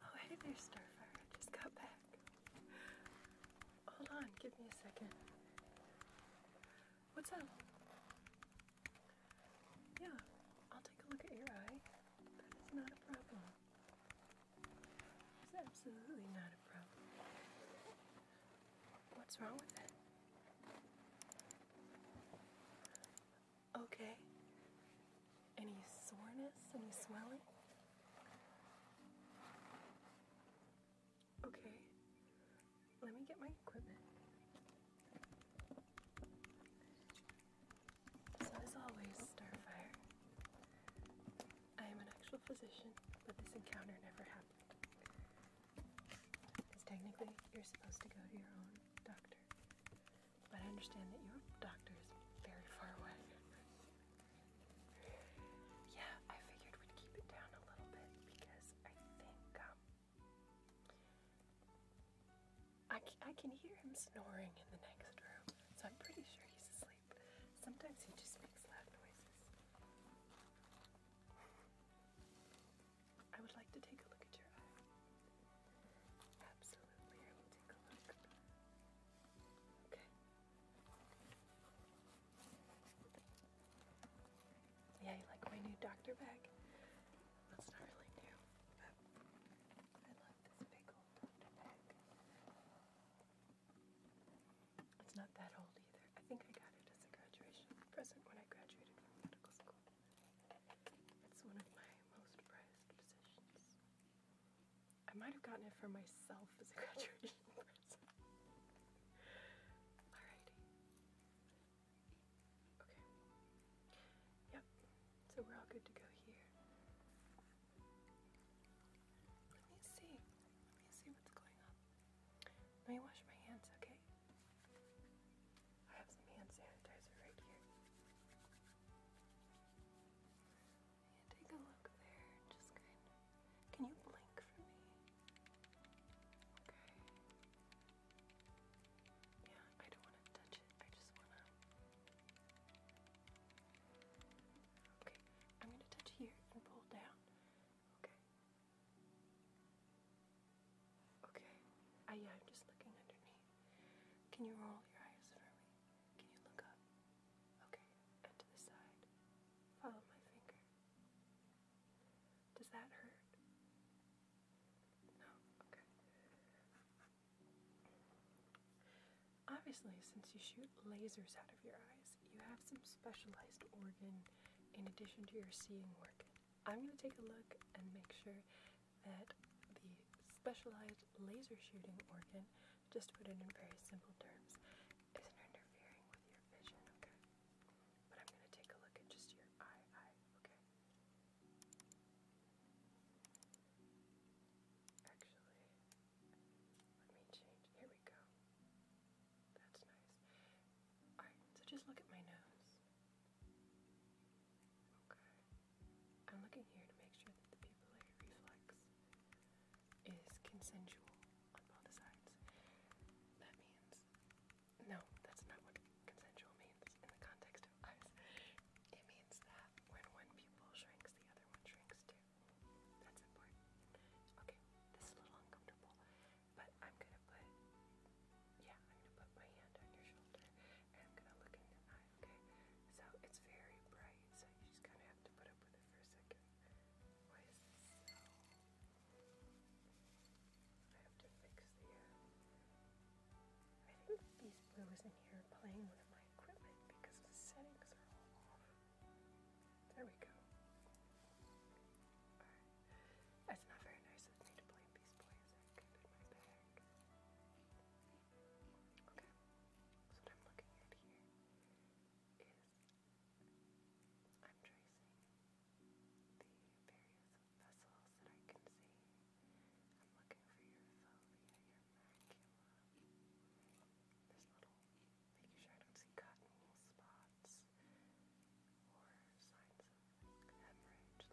Oh, hey there, Starfire. I just got back. Hold on, give me a second. What's up? Yeah, I'll take a look at your eye. That is not a problem. It's absolutely not a problem. What's wrong with it? Okay. Any soreness? Any swelling? Okay, let me get my equipment. as always, Starfire, I am an actual physician, but this encounter never happened. Because technically, you're supposed to go to your own doctor. But I understand that your doctor is very far away. yeah, I figured we'd keep it down a little bit because I think um, can hear him snoring in the next room, so I'm pretty sure he's asleep. Sometimes he just makes loud noises. I would like to take a look at your eye. Yeah, you like my new doctor bag? That's not really new, but I love this big old doctor bag. It's not that old either. I think I got it as a graduation present when I graduated from medical school. It's one of my most prized possessions. I might have gotten it for myself as a graduation present. Alrighty. Okay. Yep. So we're all good to go here. Let me see. Let me see what's going on. Let me wash my hands, okay? I have some hand sanitizer right here take a look there. Just Can you blink for me? Okay. Yeah, I don't want to touch it. I just want to. Okay, I'm going to touch here and pull down. Okay. Okay. I, yeah, I'm just looking underneath. Can you roll your eyes for me? Can you look up? Okay, to the side. Follow my finger. Does that hurt? No? Okay. Obviously, since you shoot lasers out of your eyes, you have some specialized organ in addition to your seeing organ. I'm going to take a look and make sure that the specialized laser shooting organ just to put it in very simple terms, is interfering with your vision, okay? But I'm going to take a look at just your eye, eye, okay? Actually, let me change. Here we go. That's nice. Alright, so just look at my nose. Okay. I'm looking here to make sure that the pupillary reflex is consensual on both sides. That means, no, that's not what consensual means in the context of eyes. It means that when one pupil shrinks, the other one shrinks too. That's important. Okay, this is a little uncomfortable, but I'm gonna put, yeah, I'm gonna put my hand on your shoulder and I'm gonna look in your eye okay? So it's very bright, so you just kind of have to put up with it for a second. I have to fix the, uh, I think these blues in here playing with my equipment because the settings are all off. There we go. That's not very nice of me to play these boys. Okay, so what I'm looking at here is I'm tracing the various vessels that I can see. I'm looking for your fovea, your macula, this little, making sure I don't see cotton wool spots or signs of hemorrhage, little splinter hemorrhages.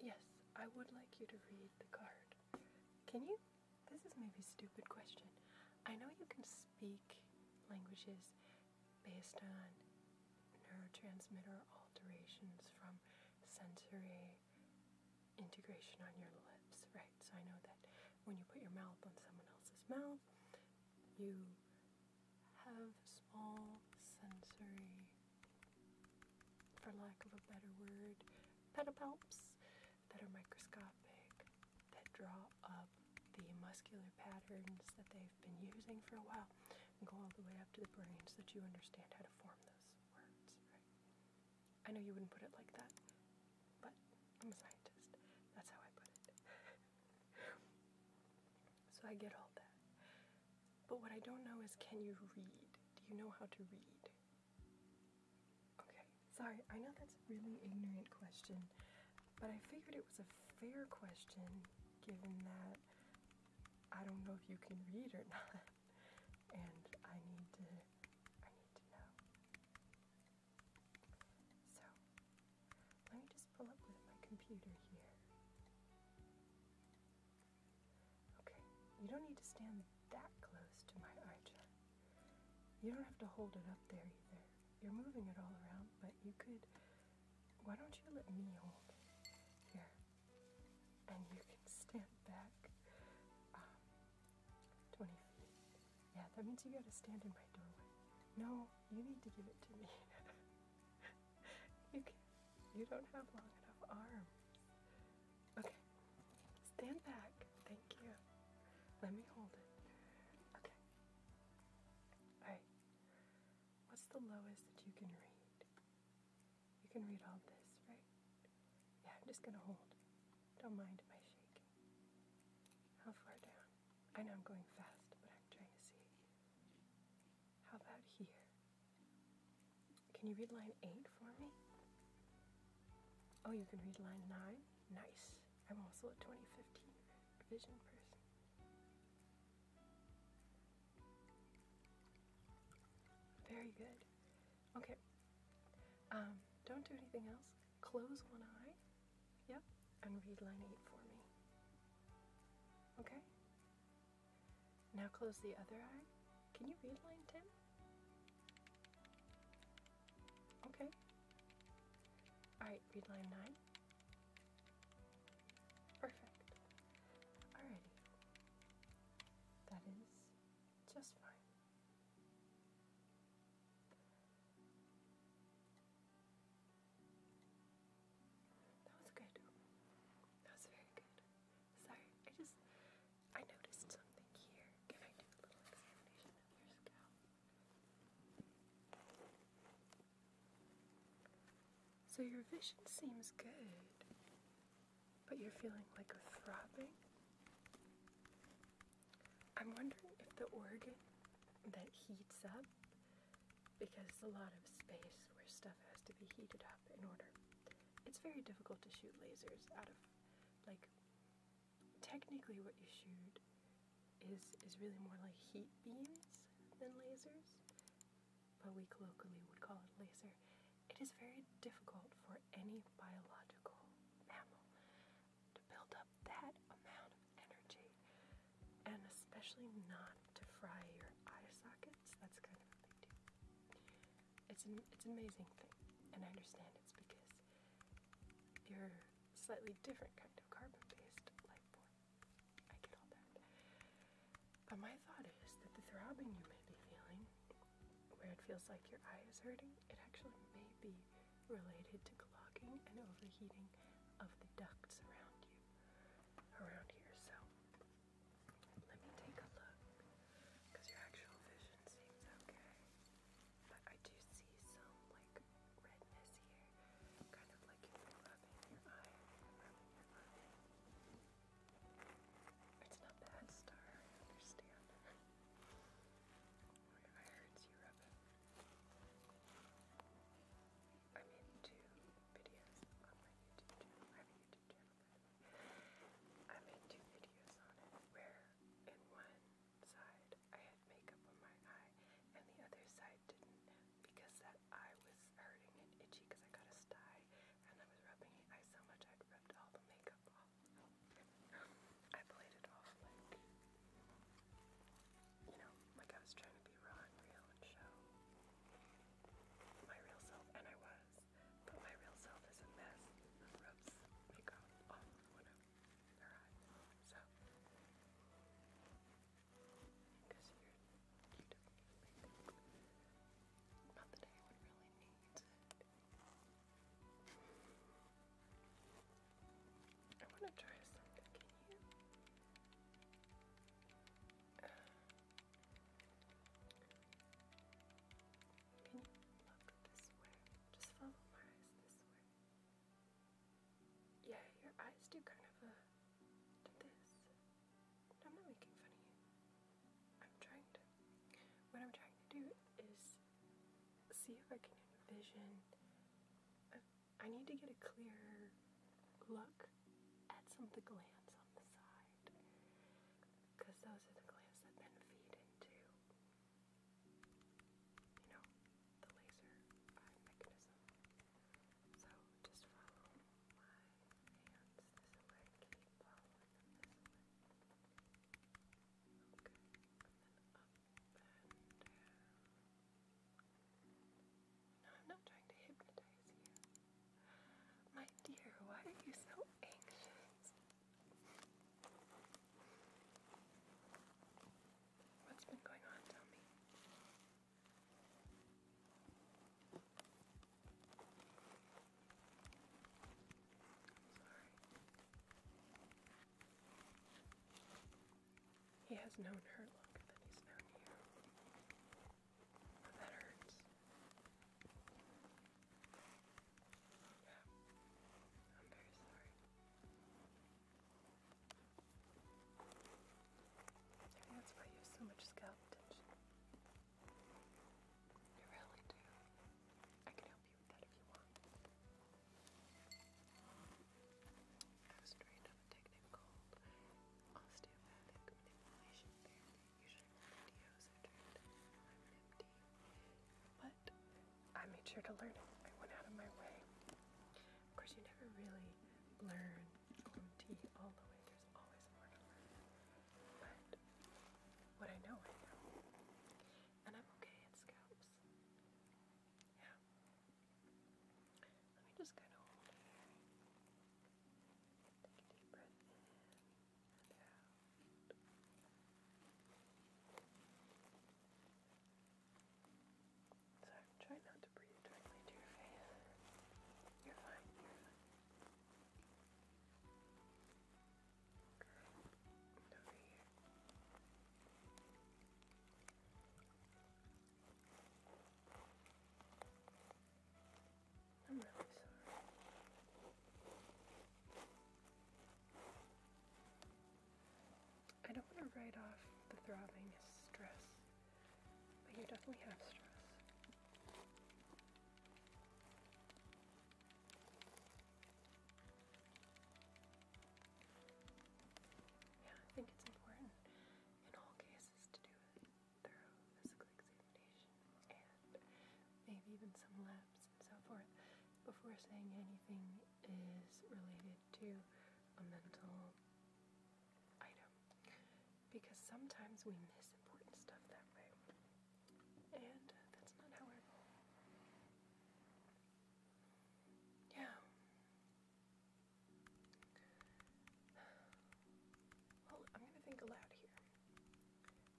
Yes, I would like you to read the card. Can you? This is maybe a stupid question. I know you can speak languages based on neurotransmitter alterations from sensory integration on your lips, right? So I know that when you put your mouth on someone else's mouth, you have small sensory, for lack of a better word, pedipalps that are microscopic, that draw up the muscular patterns that they've been using for a while and go all the way up to the brain so that you understand how to form those words, right? I know you wouldn't put it like that, but I'm a scientist. That's how I put it. so I get all that. But what I don't know is can you read? Do you know how to read? Okay, sorry, I know that's a really ignorant question, but I figured it was a fair question given that I don't know if you can read or not and I need to I need to know. So let me just pull up my computer here. Okay, you don't need to stand that close to my eye chart. You don't have to hold it up there either. You're moving it all around, but you could. Why don't you let me hold it here? And you can stand back. Um, 20 feet. Yeah, that means you gotta stand in my doorway. No, you need to give it to me. you can't. You don't have long enough arms. Okay, stand back. Thank you. Let me hold it. Okay. Alright. What's the lowest that you can read? You can read all this, right? Yeah, I'm just gonna hold. Don't mind if I shake it. How far down? I know I'm going fast, but I'm trying to see. How about here? Can you read line 8 for me? Oh, you can read line 9? Nice. I'm also a 2015 vision person. Very good. Okay. Um, don't do anything else. Close one eye. Yep. And read line 8 for me. Okay? Now close the other eye. Can you read line 10? Okay. Alright, read line 9. Perfect. Alrighty. That is just fine. That was good. That was very good. Sorry, I just I noticed something here. Can I do a little examination of your scalp? So your vision seems good, but you're feeling like a throbbing. I'm wondering if the organ that heats up, because it's a lot of space where stuff has to be heated up in order. It's very difficult to shoot lasers out of, like, technically what you shoot is is really more like heat beams than lasers, but we colloquially would call it laser. It is very difficult for any biological mammal build up that amount of energy and especially not to fry your eye sockets. That's kind of a big deal. It's an, it's amazing thing, and I understand it's because you're slightly different kind of carbon-based life form. I get all that. But my thought is that the throbbing you may be feeling where it feels like your eye is hurting, it actually may be related to clogging and overheating of the ducts around you, around here. So let me take a look because your actual vision seems okay, but I do see some like redness here, kind of like if your eye, eye. It's not bad, Star. I understand. I heard you rub it. I made two videos on my YouTube channel. I have a YouTube channel. I made two videos on it where in one side I had makeup on my eye and the other side didn't because that eye was hurting and itchy because I got a sty and I was rubbing it. I so much I'd rubbed all the makeup off. I played it off like, you know, like I was trying to be raw real and show my real self, and I was, but my real self is a mess So, because you're, you don't need it. I want to try something. Can you? can you look this way? Just follow my eyes this way. Yeah, your eyes do kind of a uh, this. I'm not making fun of you. I'm trying to. What I'm trying to do is see if I can envision. I need to get a clearer look at some of the glands on the side because those are the glands that then feed into, you know, the laser eye mechanism. So just follow my hands this way, keep them this way. Okay, and then up. And, no, I'm not trying to hypnotize you. My dear, why are you so anxious? What's been going on? Tell me. sorry. He has known her longer than he's known you. That hurts. I'm very sorry. Maybe that's why you have so much scalp tension. You really do. I can help I was trained on a technique called osteopathic manipulation therapy. Usually my videos are turned I'm an But I made sure to learn it. I went out of my way. Of course you never really learn OMT all the way. There's always more to learn. But what I know I know. And I'm okay at scalps lips. Yeah. Let me just kind of hold Take a deep breath in So try not to breathe directly to your face. You're fine. I'm really sorry. I don't want to write off the throbbing as stress, but you definitely have stress. Yeah, I think it's important in all cases to do thorough physical examination and maybe even some labs and so forth before saying anything is related to a mental item because sometimes we miss important stuff that way and that's not how I roll. Yeah. Well, I'm gonna think aloud here.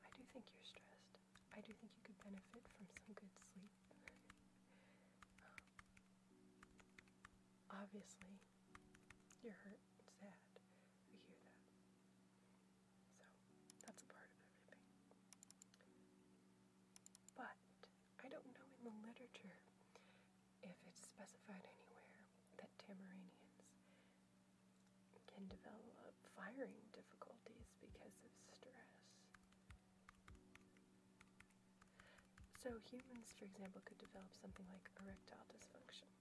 I do think you're stressed. I do think you could benefit from some good sleep. Um, obviously, you're hurt and sad. We hear that. So, that's a part of everything. But I don't know in the literature if it's specified anywhere that Tamaranians can develop firing difficulties because of stress. So humans, for example, could develop something like erectile dysfunction.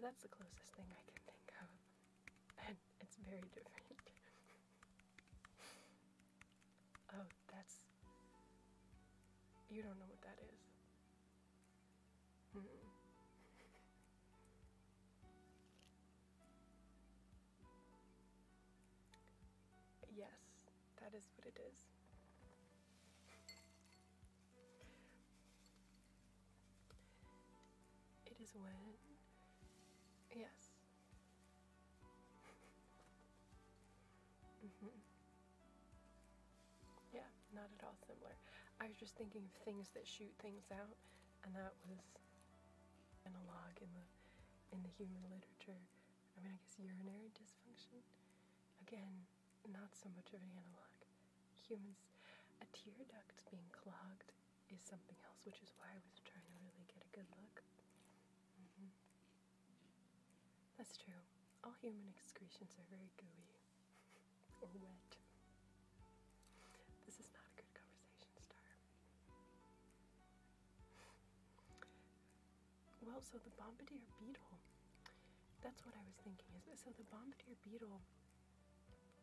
that's the closest thing I can think of. And it's very different. Oh, that's. You don't know what that is. yes, that is what it is. It is when. Yes, Mm-hmm. Yeah, not at all similar. I was just thinking of things that shoot things out, and that was analog in the in the human literature. I mean, I guess urinary dysfunction. Again, not so much of an analog. Humans, a tear duct being clogged is something else, which is why I was trying to really get a good look. Mm-hmm. That's true. All human excretions are very gooey or wet. This is not a good conversation starter. Well, so the bombardier beetle, that's what I was thinking. Is so the bombardier beetle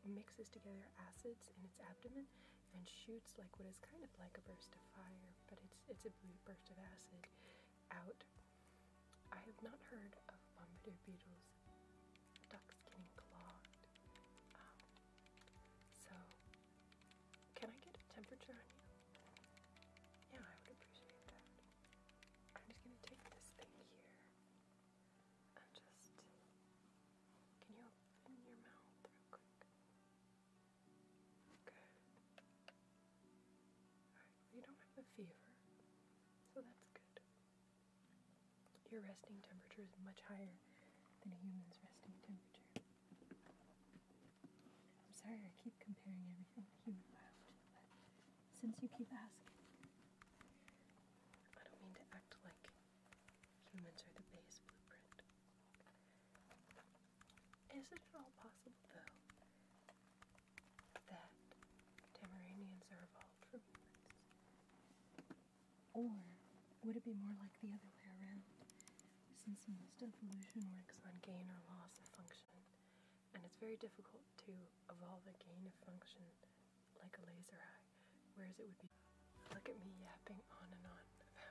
mixes together acids in its abdomen and shoots like what is kind of like a burst of fire, but it's it's a burst of acid out. I have not heard of bombardier beetles, ducks getting clogged. Um, so, can I get a temperature on you? Yeah, I would appreciate that. I'm just gonna take this thing here and just. Can you open your mouth real quick? you don't have a fever, so that's good. Your resting temperature is much higher than a human's resting temperature. I'm sorry I keep comparing everything to human since you keep asking, I don't mean to act like humans are the base blueprint. Is it at all possible, though, that Tamaranians are evolved from humans? Or would it be more like the other way around, since most evolution works on gain or loss of function, and it's very difficult to evolve a gain of function like a laser eye, whereas it would be. Look at me yapping on and on. I'm sorry.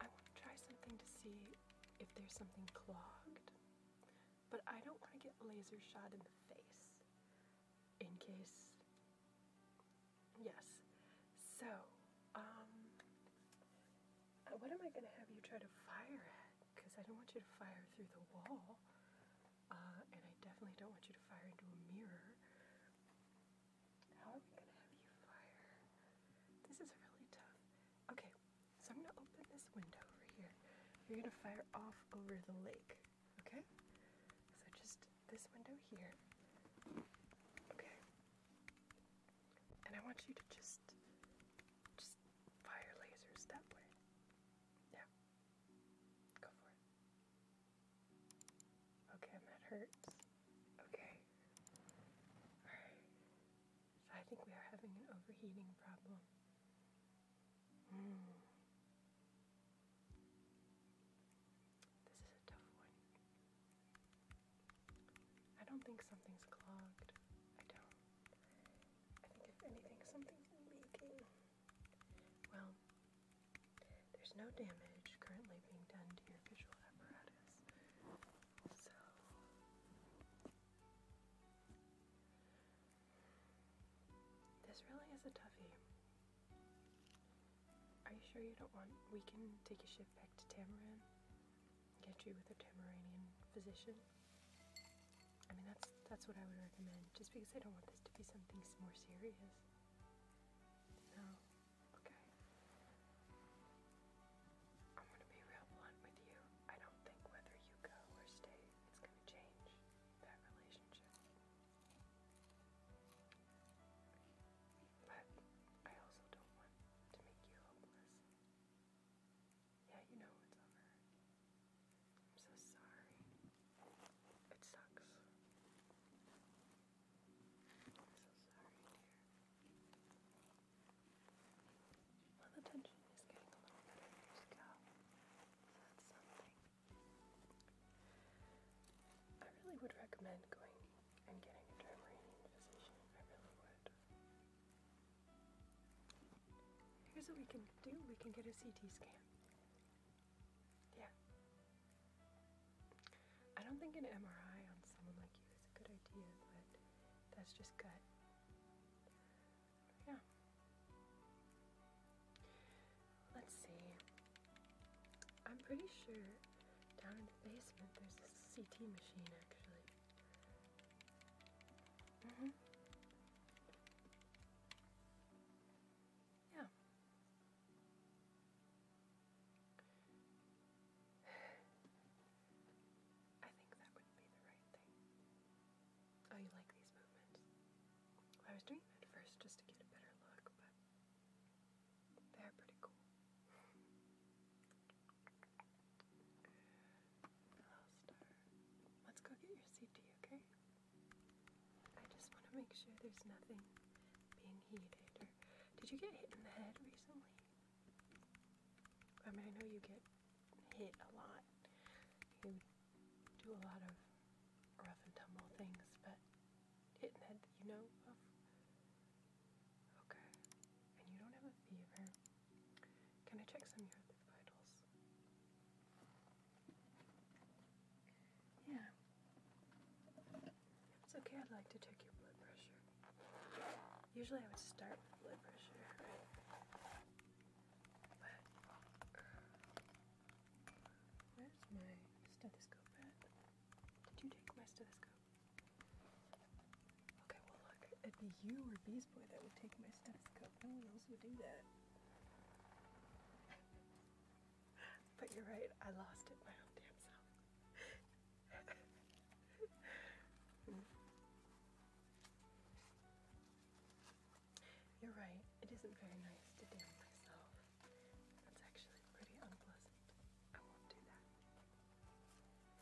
want to try something to see if there's something clogged, but I don't want to get laser shot in the face in case. Yes. So, um, what am I going to have you try to fire because I don't want you to fire through the wall, uh, and I definitely don't want you to fire into a mirror. How are we gonna have you fire? This is really tough. Okay, so I'm gonna open this window over here. You're gonna fire off over the lake, okay? So just this window here. Okay. And I want you to just just fire lasers that way. Yeah. Go for it. Okay, that hurts. Okay. Alright. I think we are having an overheating problem. Hmm. This is a tough one. I don't think something's clogged. I don't. I think if anything, something leaking. Well, there's no damage currently being done to your visual apparatus. So this really is a toughie. Are you sure you don't want we can take a ship back to Tamaran? Get you with a Tamaranian physician? I mean, that's that's what I would recommend. Just because I don't want this to be something more serious. Okay. I'm gonna be real blunt with you. I don't think whether you go or stay, it's gonna change that relationship. But I also don't want to make you hopeless. Yeah, you know it's over. I'm so sorry. It sucks. I'm so sorry, dear. the tension is getting a little better in your scalp. So that's something. I really would recommend going and getting a dermatologist. I really would. Here's what we can do we can get a CT scan. Yeah. I don't think an MRI on someone like you is a good idea, but that's just gut. Yeah. Let's see. I'm pretty sure down in the basement there's a CT machine actually. Mm hmm. Yeah. I think that would be the right thing. Oh, you like these movements? I was doing them first just to get a better look, but they're pretty cool. Let's go get your CT, okay? I just want to make sure there's nothing being heated. Or did you get hit in the head recently? I mean, I know you get hit a lot. You do a lot of rough and tumble things, but hit in the head that you know of? Okay. And you don't have a fever. Can I check some of your vitals? Yeah. It's okay, I'd like to check your blood pressure. Usually I would start with blood pressure, right? But, uh, where's my stethoscope Did you take my stethoscope? Okay, well, look, it'd be you or Beast Boy that would take my stethoscope. No one else would do that but you're right, I lost it my own damn self. You're right, it isn't very nice to damn myself. That's actually pretty unpleasant. I won't do that.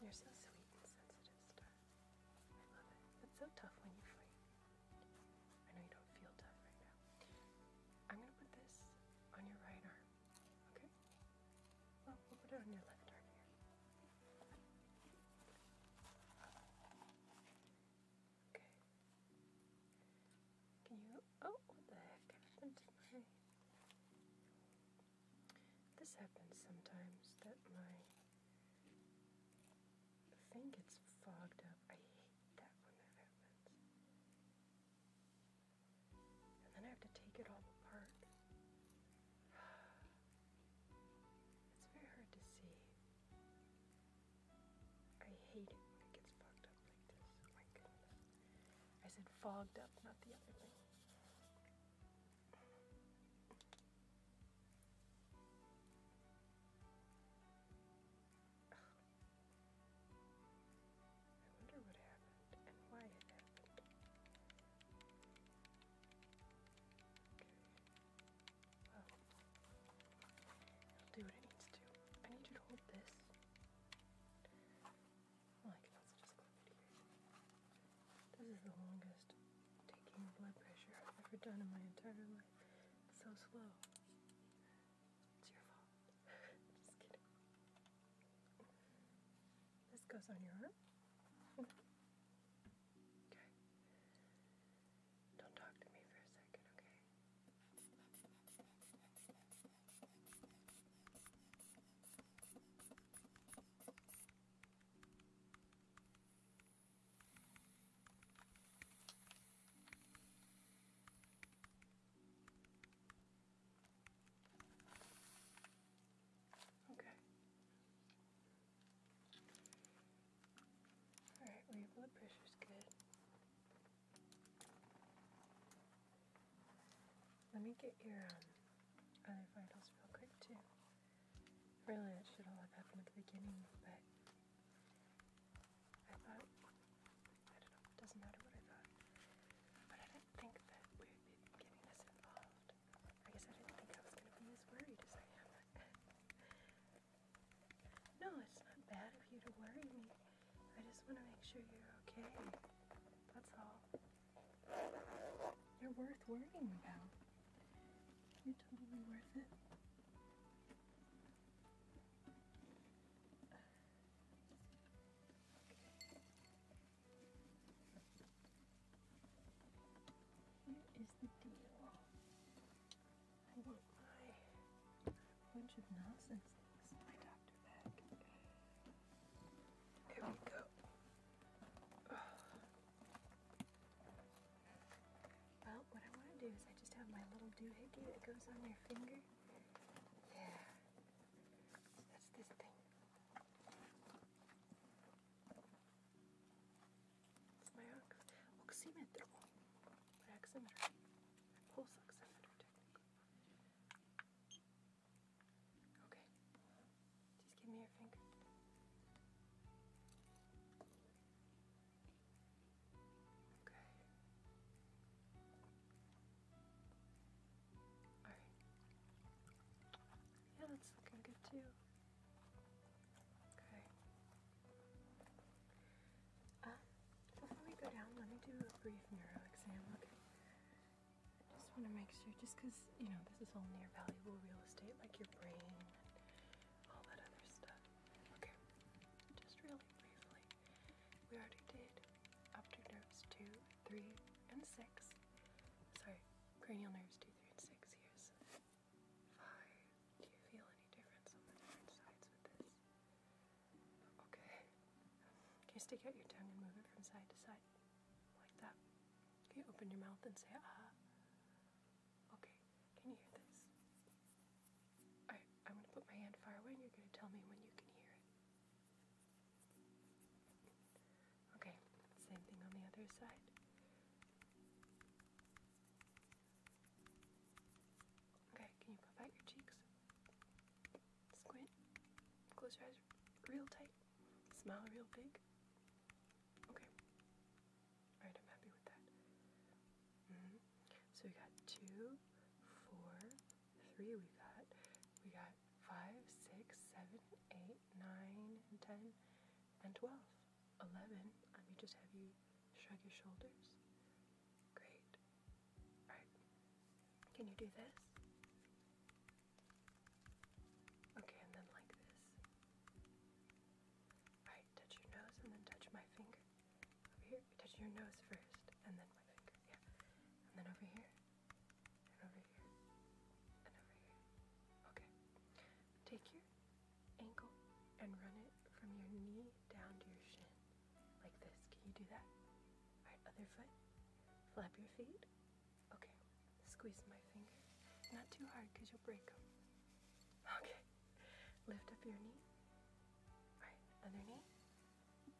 You're so sweet and sensitive, Star. I love it. It's so tough when you fight. I know you don't feel tough right now. I'm gonna put this on your right arm. Okay? Well, we'll put it on your left arm here. Okay. Can you oh what the heck this happens sometimes that my I think it's fogged up. I hate that when that happens. And then I have to take it all apart. It's very hard to see. I hate it when it gets fogged up like this. Oh my goodness. I said fogged up, not the other thing. I wonder what happened and why it happened. Okay. will do what it needs to. I need you to hold this. Well, I can also just clip it This is the longest taking blood pressure I've ever done in my entire life so slow. It's your fault. Just kidding. This goes on your arm. okay. Don't talk to me for a second, okay? Okay. All right, well, blood pressure's good. Let me get your um, other vitals real quick, too. Really, that should all have happened at the beginning, but I thought, I don't know, doesn't matter what I thought. But I didn't think that we would be getting this involved. I guess I didn't think I was going to be as worried as I am. no, it's not bad of you to worry me. I just want to make sure you're okay. That's all. You're worth worrying about. You're totally worth it. Here is the deal. I want my bunch of nonsense things my doctor bag. Here we go. Well, what I want to do is I just have my little doohickey that goes on your finger. Yeah. that's this thing. my oximeter. My oximeter. pulse oximeter Okay. Just give me your finger. Okay. Alright. Yeah, that's looking good too. Okay. Um, before we go down, let me do a brief neuro exam, okay? I just want to make sure, just you know, this is all near valuable real estate, like your brain and all that other stuff. Okay, just really briefly, we already did up nerves 2, 3, and 6. Sorry, cranial nerves 2, 3, and 6. Here's 5. Do you feel any difference on the different sides with this? Okay. Can you stick out your tongue and move it from side to side? Like that. Can you open your mouth and say ah? Okay, can you hear this? I, I'm gonna put my hand far away and you're gonna tell me when you can hear it. Okay, same thing on the other side. Okay, can you puff out your cheeks? Squint. Close your eyes real tight. Smile real big. Okay. Alright, I'm happy with that. Mm-hmm. So we got two, four, three, we got, we got five, six, seven, eight, nine, ten, and ten, and twelve. Eleven. Let me just have you shrug your shoulders. Great. Alright. Can you do this? Okay, and then like this. Alright, touch your nose and then touch my finger. Over here, touch your nose first, and then my finger. Yeah. And then over here, and over here, and over here. Okay. Take your ankle and run it from your knee down to your shin. Like this. Can you do that? Alright, other foot. Flap your feet. Okay. Squeeze my finger. Not too hard because you'll break them. Okay. Lift up your knee. Alright, other knee.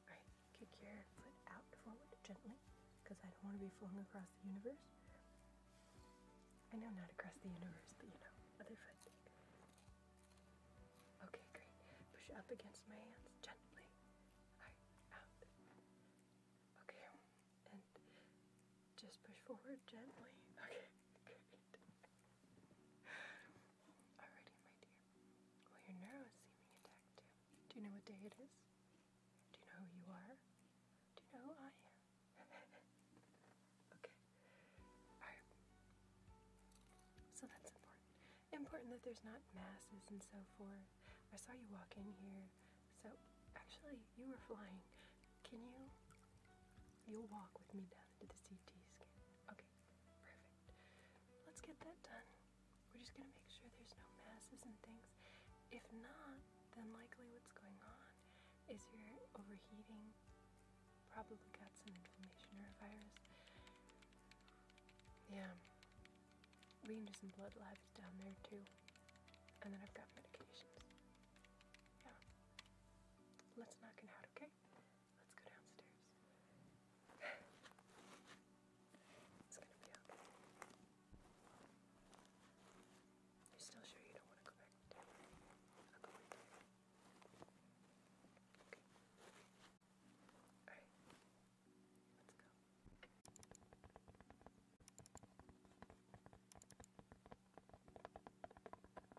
Alright, kick your foot out forward gently because I don't want to be flung across the universe. I know not across the universe, but you know, other foot. Okay, great. Push up against my hands gently. Alright, out. Okay, and just push forward gently. Okay, great. Alrighty, my dear. Well, your nerve is seeming attacked too. Do you know what day it is? Do you know who you are? Do you know who I am? okay. Alright. So that's important. Important that there's not masses and so forth. I saw you walk in here. So, actually, you were flying. Can you? You'll walk with me down after the CT scan. Okay, perfect. Let's get that done. We're just gonna make sure there's no masses and things. If not, then likely what's going on is you're overheating, probably got some inflammation or a virus. Yeah, we can do some blood labs down there too. And then I've got medications. Yeah. Let's knock it out, okay? Let's go downstairs. it's gonna be okay. You're still sure you don't want to go back Okay. Alright. Let's go.